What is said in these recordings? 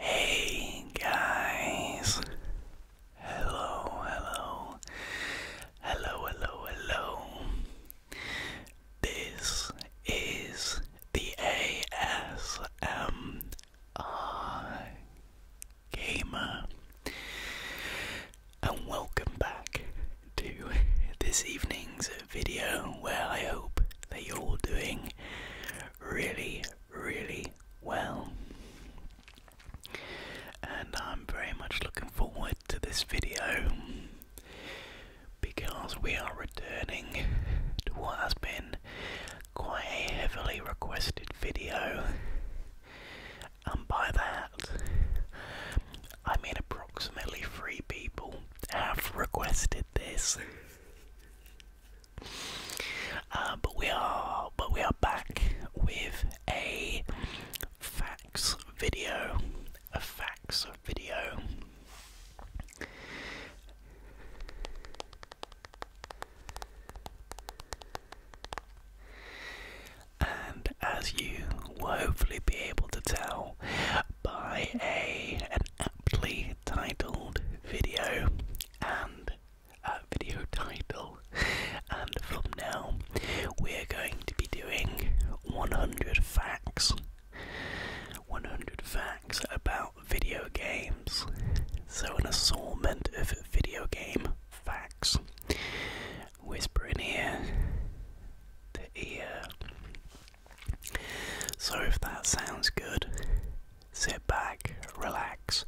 Hey guys, hello, hello, hello, hello, hello. This is the ASM. I Gamer, and welcome back to this evening's video where I hope that you're all doing really, really well. And I'm very much looking forward to this video because we are returning to what has been quite a heavily requested video, and by that, I mean approximately three people have requested this. Uh, but we are, but we are back with a facts video, a facts video. And as you will hopefully be able to tell by a an aptly titled video and video title and thumbnail, we're going to be doing 100 facts. 100 facts about video games. So, an assortment of video game facts. Whisper in here, the ear. So, if that sounds good, sit back, relax,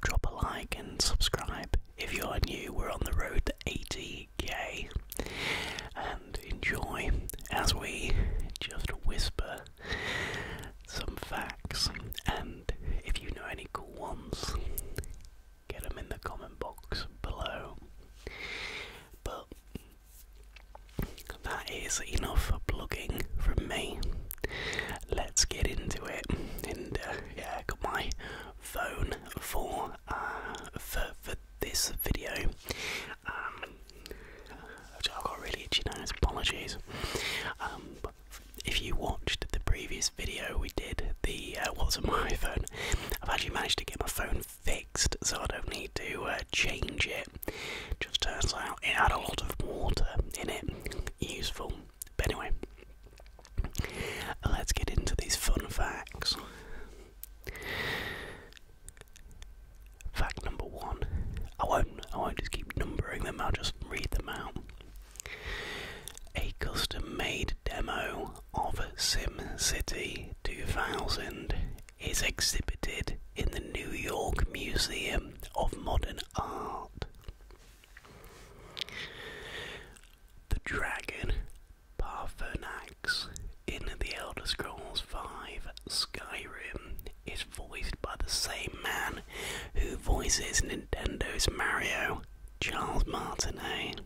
drop a like, and subscribe. If you're new, we're on the road to 80k. And enjoy as we just whisper some facts, and if you know any cool ones, get them in the comment box below. But that is enough plugging from me. Let's get into it, and uh, yeah, got my phone for uh, for for this video. Um, I've got really itchy nose, apologies. Um, if you watched the previous video we did, the uh, what's on my iPhone, I've actually managed to get my phone fixed so I don't need to uh, change it. Just turns out it had a lot of water in it, useful. But anyway, let's get into these fun facts. Fact number one. I won't I won't just keep numbering them, I'll just read them out. A custom made demo of SimCity 2000 is exhibited in the New York Museum of Modern Art. The dragon Parthenax in The Elder Scrolls V Skyrim is voiced by the same man who voices Nintendo's Mario, Charles Martinet.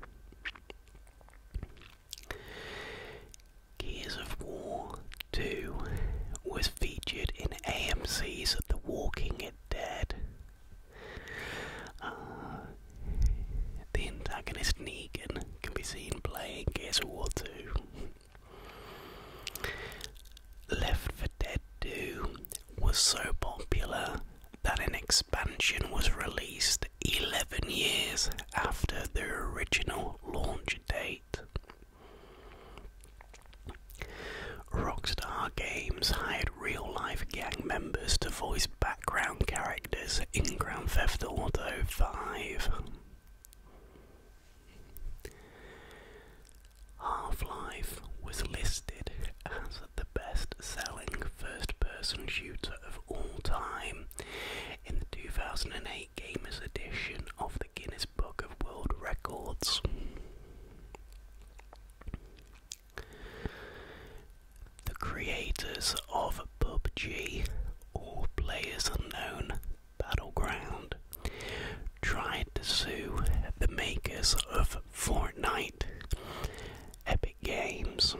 Gears of War 2 was featured in AMC's The Walking Dead. Uh, the antagonist Negan can be seen playing Gears of War 2. Left 4 Dead 2 was so popular that an expansion was released 11 years after the original launch date. Rockstar Games hired real life gang members to voice background characters in Grand Theft Auto 5. Half Life was listed as the best selling first person shooter of all time in the 2008 Gamers Edition of the Guinness Book of World Records. The creators of PUBG, All Players Unknown, Battleground tried to sue the makers of Fortnite, Epic Games.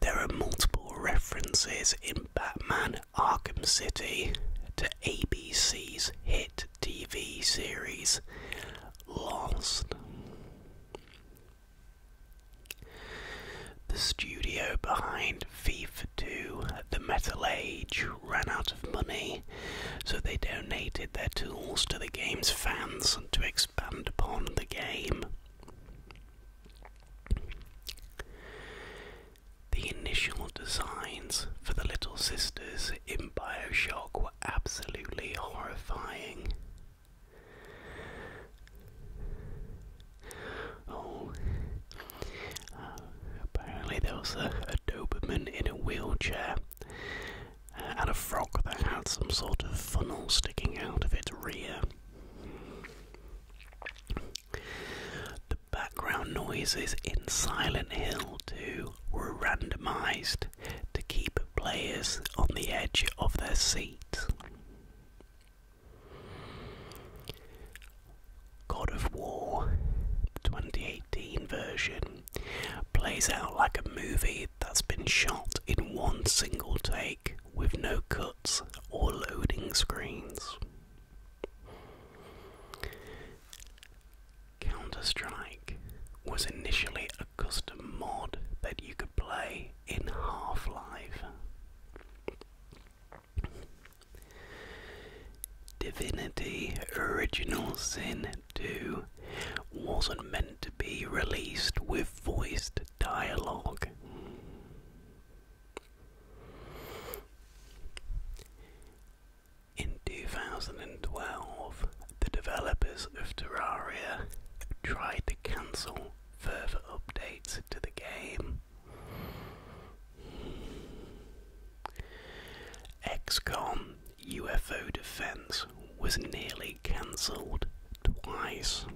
There are multiple references in Batman Arkham City to ABC's hit TV series Lost. The studio behind FIFA 2, The Metal Age, ran out of money, so they donated their tools to the game's fans to expand upon the game. The initial designs for the Little Sisters in Bioshock were absolutely horrifying. Oh, uh, apparently there was a, Doberman in a wheelchair uh, and a frog that had some sort of funnel sticking out of its rear. The background noises in Silent Hill 2 were randomized to keep players on the edge of their seats. God of War 2018 version plays out like a movie that's been shot in one single take with no cuts or loading screens. Counter Strike was initially a custom mod that you could play in Half Life. Divinity Original Sin 2 wasn't meant to be released with voiced dialogue. In 2012, the developers of Terraria tried to cancel further updates to the game XCOM UFO Defense was nearly cancelled twice.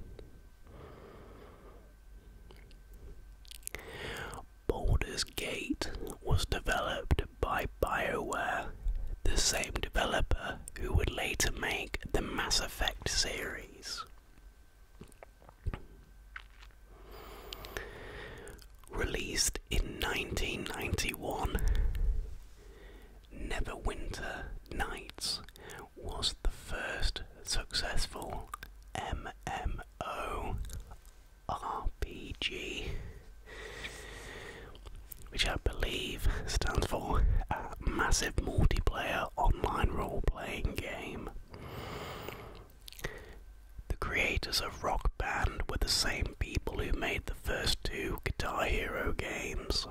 Baldur's Gate was developed by BioWare, the same developer who would later make the Mass Effect series. Released in 1991, Neverwinter Nights was the first successful MMO RPG, which I believe stands for Massive Multiplayer Online Role Playing Game. The creators of Rock Band were the same people who made the first two Guitar Hero games.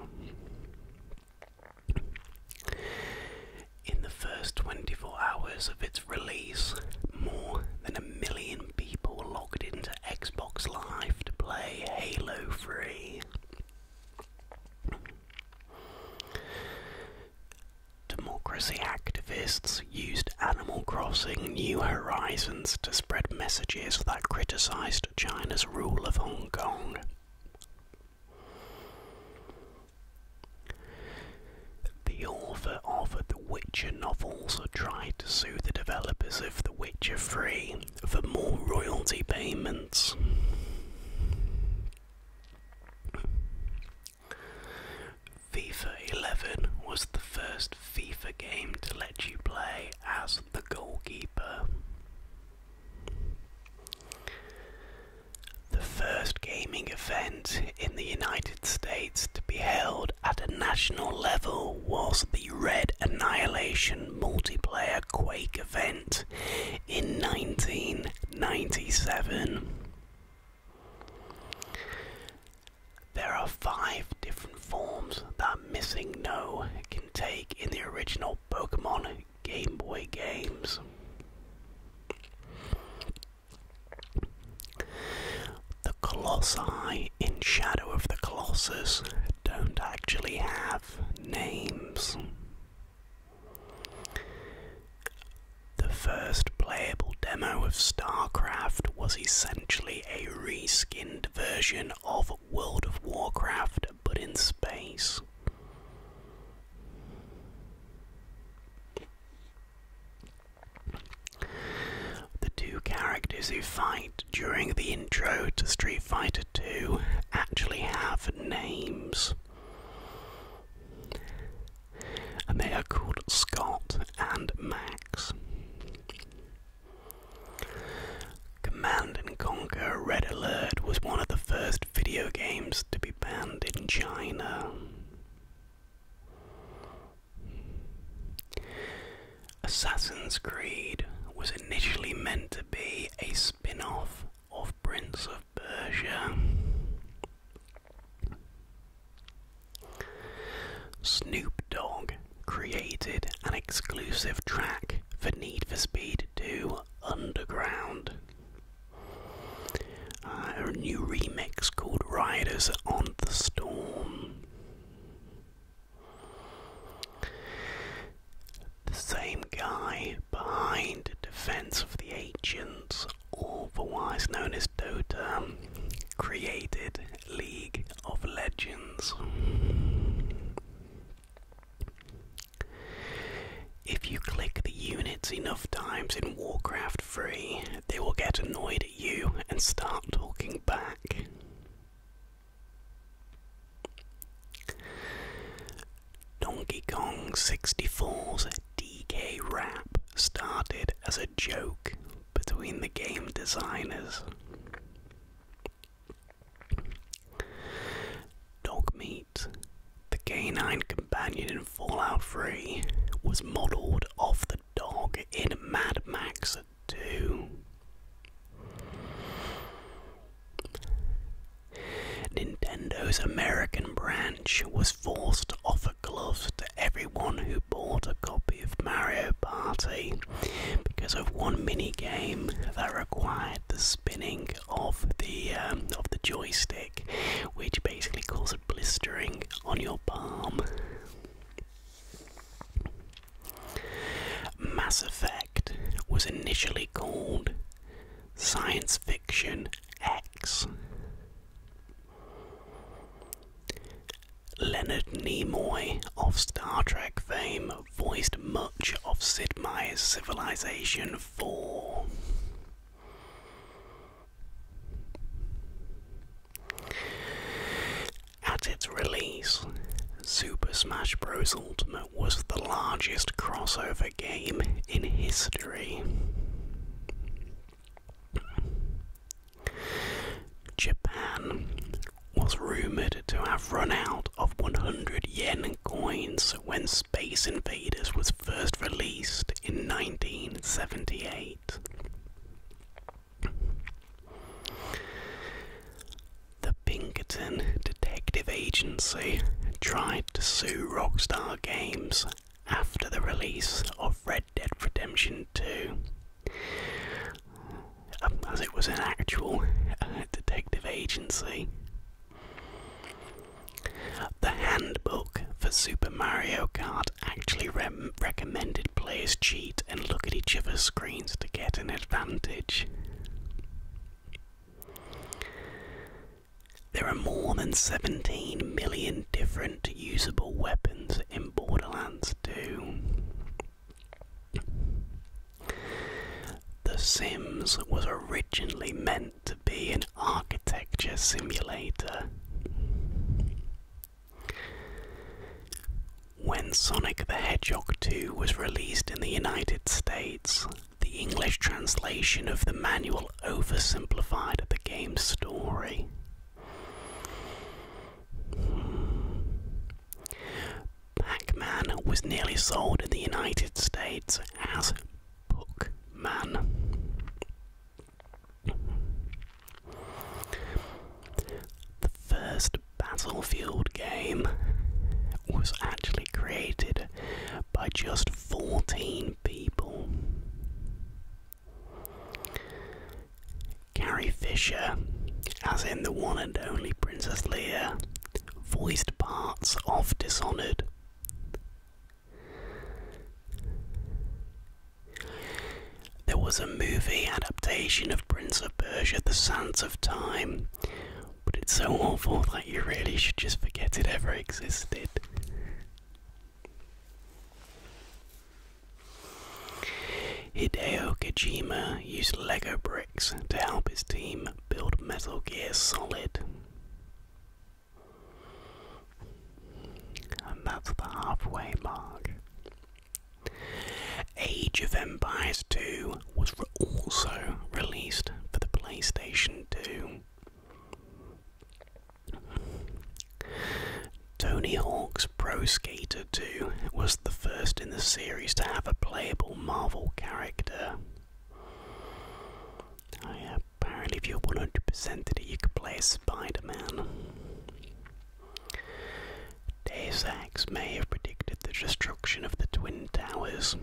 In the first 24 hours of its release, more than a million people logged into Xbox Live to play Halo Free. Democracy activists used Animal Crossing New Horizons to spread messages that criticized China's rule of Hong Kong. The author of The Witcher novels tried to sue the developers of The Witcher 3 for more royalty payments. FIFA 11 was the first FIFA game to let you play as the goalkeeper. The first gaming event in the United States to be held at a national level was the Red Annihilation multiplayer Quake event in 1997. There are five different forms that Missing No can take in the original Pokemon Game Boy games. The Colossi in Shadow of the Colossus don't actually have names. The first playable demo of StarCraft was essentially a reskinned version of World of Warcraft but in space. The two characters who fight during the intro to Street Fighter II actually have names and they are called Scott and Max. Command and Conquer Red Alert was one of the first video games to be banned in China. Assassin's Creed was initially meant to be a spin off of Prince of of Snoop Dogg created an exclusive track for Need for Speed 2 Underground. Uh, a new remix called Riders on the Storm. The same guy behind Defense of the Ancients was otherwise known as Dota, created League of Legends. If you click the units enough times in Warcraft 3, they will get annoyed at you and start talking back. Donkey Kong 64's DK Rap started as a joke between the game designers. Dogmeat, the canine companion in Fallout 3, was modelled off the dog in Mad Max 2. Nintendo's American branch was forced to offer gloves to everyone who bought a copy of Mario Party because of one mini game that required the spinning of the um, of the joystick, which basically caused blistering on your palm. Mass Effect was initially called Science Fiction X. Leonard Nimoy of Star Trek fame voiced much of Sid Meier's Civilization 4. At its release, Super Smash Bros. Ultimate was the largest crossover game in history. Japan was rumored to have run out of 100 yen coins when Space Invaders was first released in 1978. The Pinkerton Detective Agency tried to sue Rockstar Games after the release of Red Dead Redemption 2. Um, as it was an actual uh, detective agency. The handbook for Super Mario Kart actually recommended players cheat and look at each other's screens to get an advantage. There are more than 17 million different usable weapons in Borderlands 2. The Sims was originally meant to be an architecture simulator. When Sonic the Hedgehog 2 was released in the United States, the English translation of the manual oversimplified at the game's story. Pac Man was nearly sold in the United States as Book The first Battlefield game was actually created by just 14 people. Carrie Fisher, as in the one and only Princess Leia, voiced parts of Dishonored. There was a movie adaptation of Prince of Persia, The Sands of Time, but it's so awful that you really should just forget it ever existed. Hideo Kojima used Lego bricks to help his team build Metal Gear Solid. And that's the halfway mark. Age of Empires 2 was also released for the PlayStation 2. Tony Hawk's Pro Skater 2 was the first in the series to have a playable Marvel character. Oh, yeah. Apparently, if you 100% it, you could play Spider Man. Deus Ex may have predicted the destruction of the Twin Towers.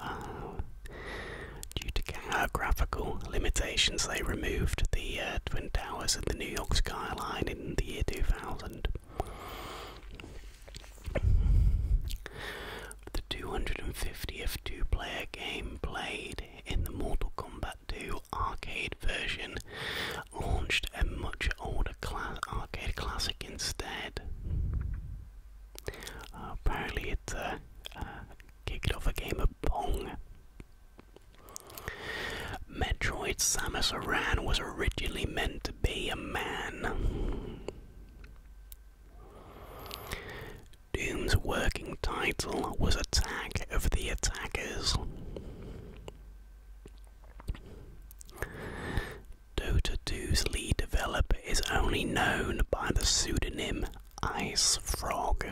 Uh, due to geographical limitations, they removed the uh, Twin Towers of the New York skyline in the year 2000. The 250th two player game played in the Mortal Kombat 2 arcade version launched a much older cla arcade classic instead apparently, it kicked off a game of Pong. Metroid Samus Aran was originally meant to be a man. Doom's working title was Attack of the Attackers. Dota 2's lead developer is only known by the pseudonym Ice Frog.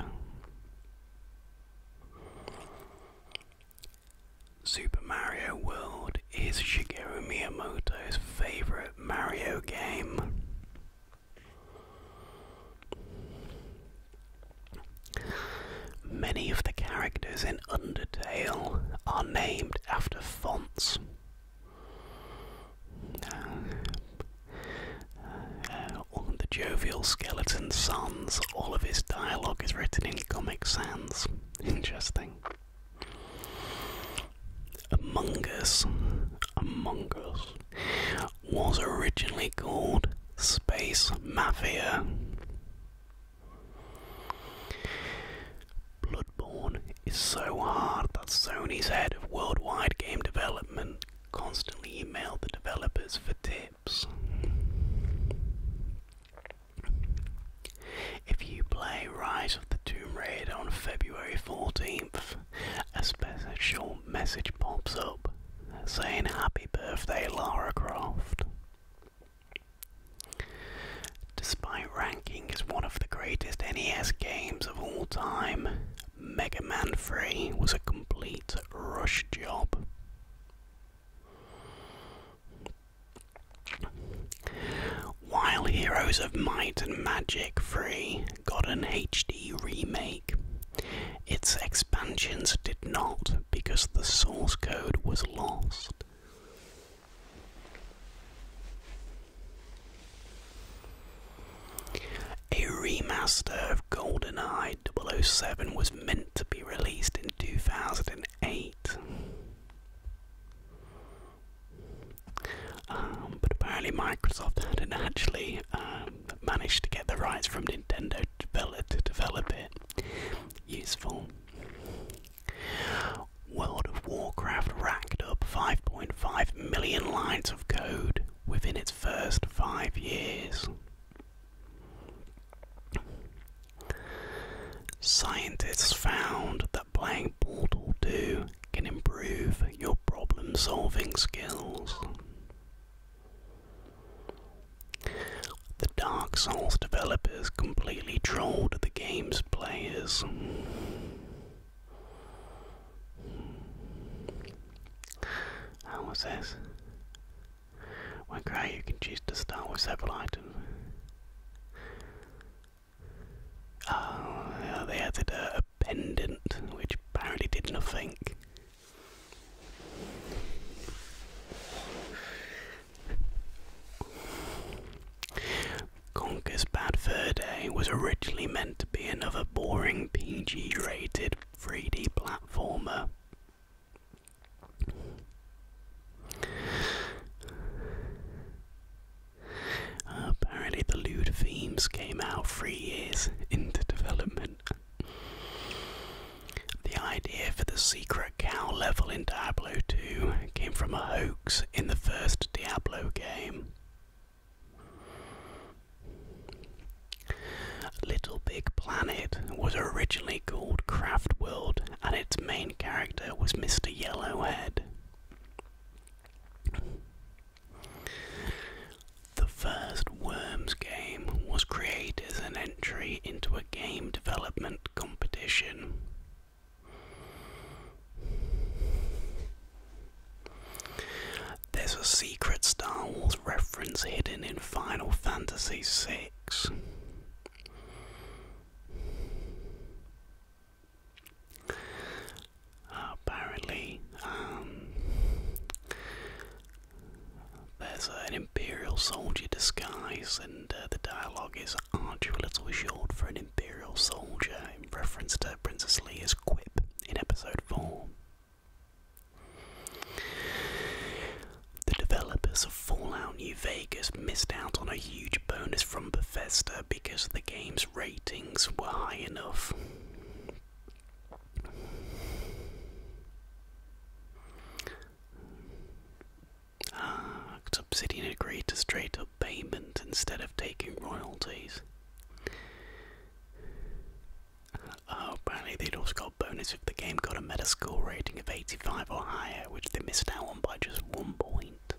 Super Mario World is Shigeru Miyamoto's favorite Mario game. Many of the characters in Undertale are named after fonts the uh, uh, jovial skeleton sons, all of his dialogue is written in Comic Sans. Interesting. Among Us, Among Us, was originally called Space Mafia. Bloodborne is so hard that Sony's head of worldwide game development constantly emailed the developers for tips. If you play Rise of the Tomb Raider on February 14th, a special message pops up saying Happy Birthday Lara Croft despite ranking as one of the greatest NES games of all time, Mega Man 3 was a complete rush job. While Heroes of Might and Magic 3 got an HD remake, its expansions did not because the source code was lost. A remaster of GoldenEye 007 was meant to be released in 2008. Um, but apparently, Microsoft hadn't actually um, managed to get the rights from Nintendo to develop it. Useful. World of Warcraft racked up 5.5 million lines of code within its first five years. Scientists found that playing Portal 2 can improve your problem solving skills. The Dark Souls developers completely trolled the game's players. And what's this? When grey, you can choose to start with several items. Oh, they added a, a pendant, which apparently did nothing. Conker's Bad Fur Day was originally meant to be another boring PG rated 3D platformer. apparently, the lewd themes came out three years into development. The idea for the secret cow level in Diablo II came from a hoax in the first Diablo game. Little Big Planet was originally called Craft World, and its main character was Mr. Yellowhead. The first Worms game was created as an entry into a game development competition. There's a secret Star Wars reference hidden in Final Fantasy VI. Apparently, um, there's an Imperial soldier disguise, and uh, the dialogue is Aren't you a little short for an Imperial soldier? reference to Princess Leia's quip in episode 4. The developers of Fallout New Vegas missed out on a huge bonus from Bethesda because the game's ratings were high enough. Ah, Obsidian agreed to straight up payment instead of taking royalties. Oh, apparently they'd also got bonus if the game got a Metascore rating of 85 or higher, which they missed out on by just one point.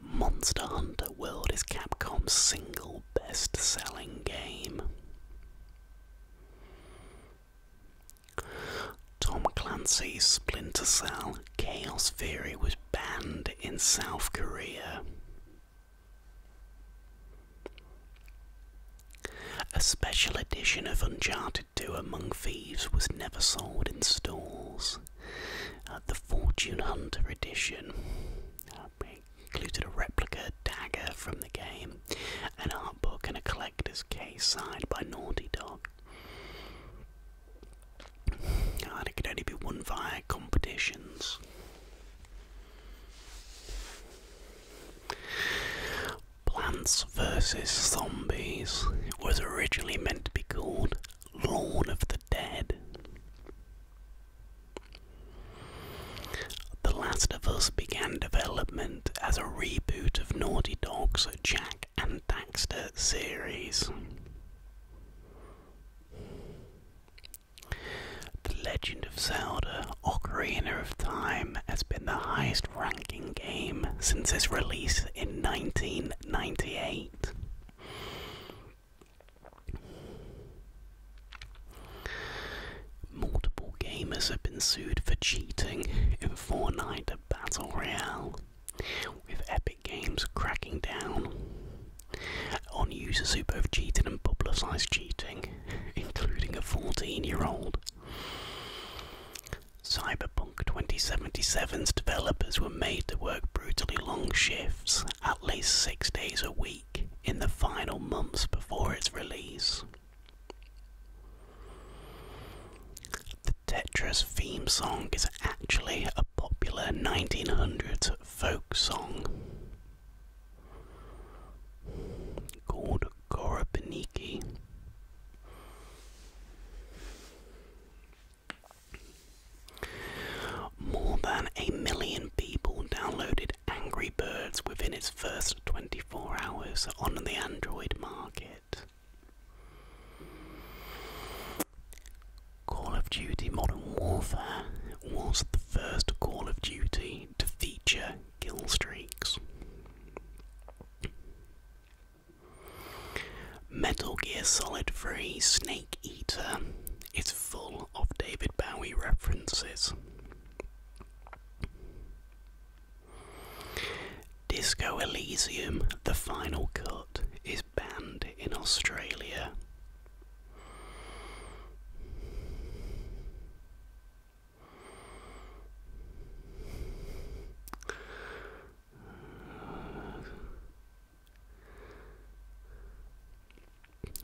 Monster Hunter World is Capcom's single best selling game. Tom Clancy's Splinter Cell Chaos Theory was was in South Korea. A special edition of Uncharted 2 Among Thieves was never sold in stores. Uh, the Fortune Hunter edition uh, included a replica dagger from the game, an art book, and a collector's case signed by Naughty Dog and oh, it could only be won via competitions. Plants vs. Zombies was originally meant to be called Lawn of the Dead. The Last of Us began development as a reboot of Naughty Dog's Jack and Daxter series. The Legend of Zelda Ocarina of Time has been the highest ranking game since its release in 1998. Multiple gamers have been sued for cheating in Fortnite Battle Royale with Epic Games cracking down on users who both cheated and publicised cheating, including a 14 year old. Cyberpunk 2077's developers were made to work brutally long shifts, at least six days a week, in the final months before its release. The Tetris theme song is actually a popular 1900s folk song called Gorobaniki. More than a million people downloaded Angry Birds within its first 24 hours on the Android market. Call of Duty Modern Warfare was the first Call of Duty to feature kill streaks. Metal Gear Solid 3 Snake Eater is full of David Bowie references. Disco Elysium The Final Cut is banned in Australia.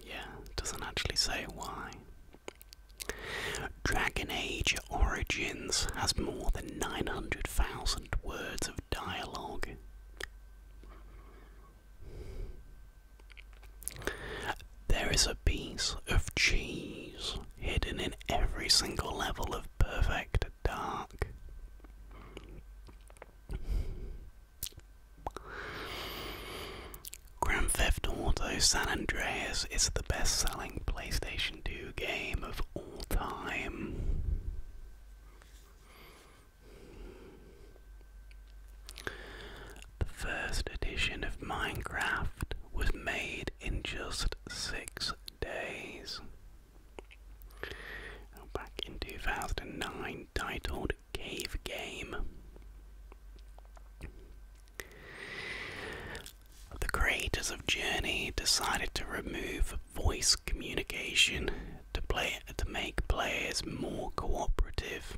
Yeah, doesn't actually say why. Dragon Age Origins has more than 900,000 words of dialogue. There is a piece of cheese hidden in every single level of perfect dark. Grand Theft Auto San Andreas is the best selling PlayStation 2 game of all time. The first edition of Minecraft was made in just six days. Back in 2009, titled Cave Game. The creators of Journey decided to remove voice communication to play to make players more cooperative.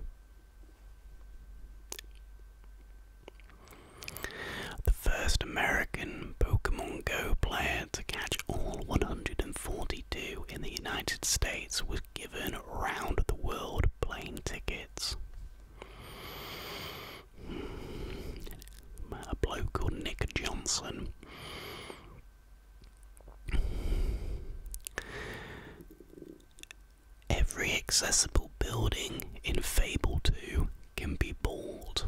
The first American Pokemon Go player to catch all 142 in the United States was given round the world plane tickets. A bloke called Nick Johnson Every accessible building in Fable 2 can be bought.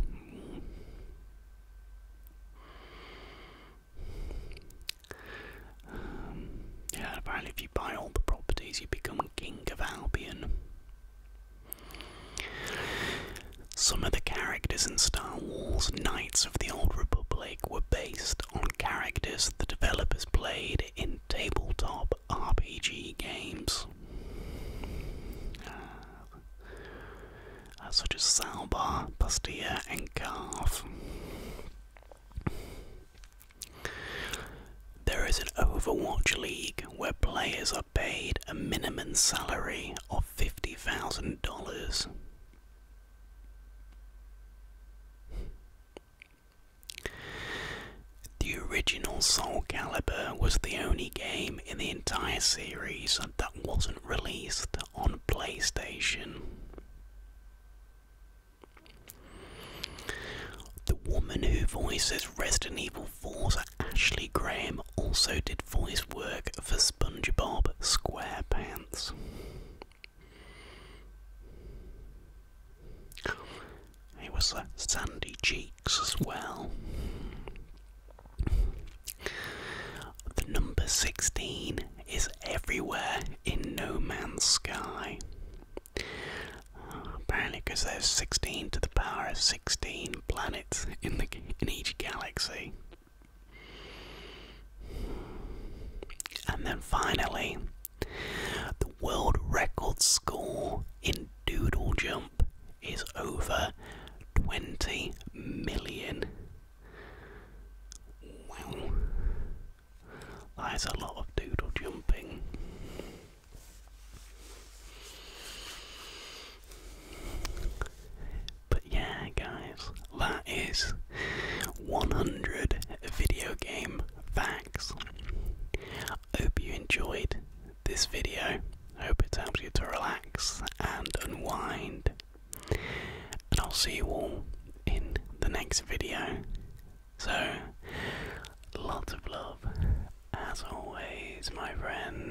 yeah, apparently, if you buy all the properties, you become King of Albion. Some of the characters in Star Wars Knights of the Old Republic were based on characters the developers played in tabletop RPG games. Uh, such as Salbar, Pastilla, and Carve. There is an Overwatch League where players are paid a minimum salary of $50,000 the original Soul Calibur was the only game in the entire series that wasn't released on PlayStation. The woman who voices Resident Evil Four, Ashley Graham also did voice work for SpongeBob SquarePants hands. It was sandy cheeks as well. The number 16 is everywhere in No Man's Sky. Uh, apparently, because there's 16 to the power of 16 planets in each galaxy. And then finally, the world record score in doodle jump is over 20 million. Wow, that is a lot of doodle jumping. But yeah, guys, that is 100 video game facts. I hope you enjoyed this video. I hope it helps you to relax and unwind. And I'll see you all in the next video. So, lots of love, as always, my friend.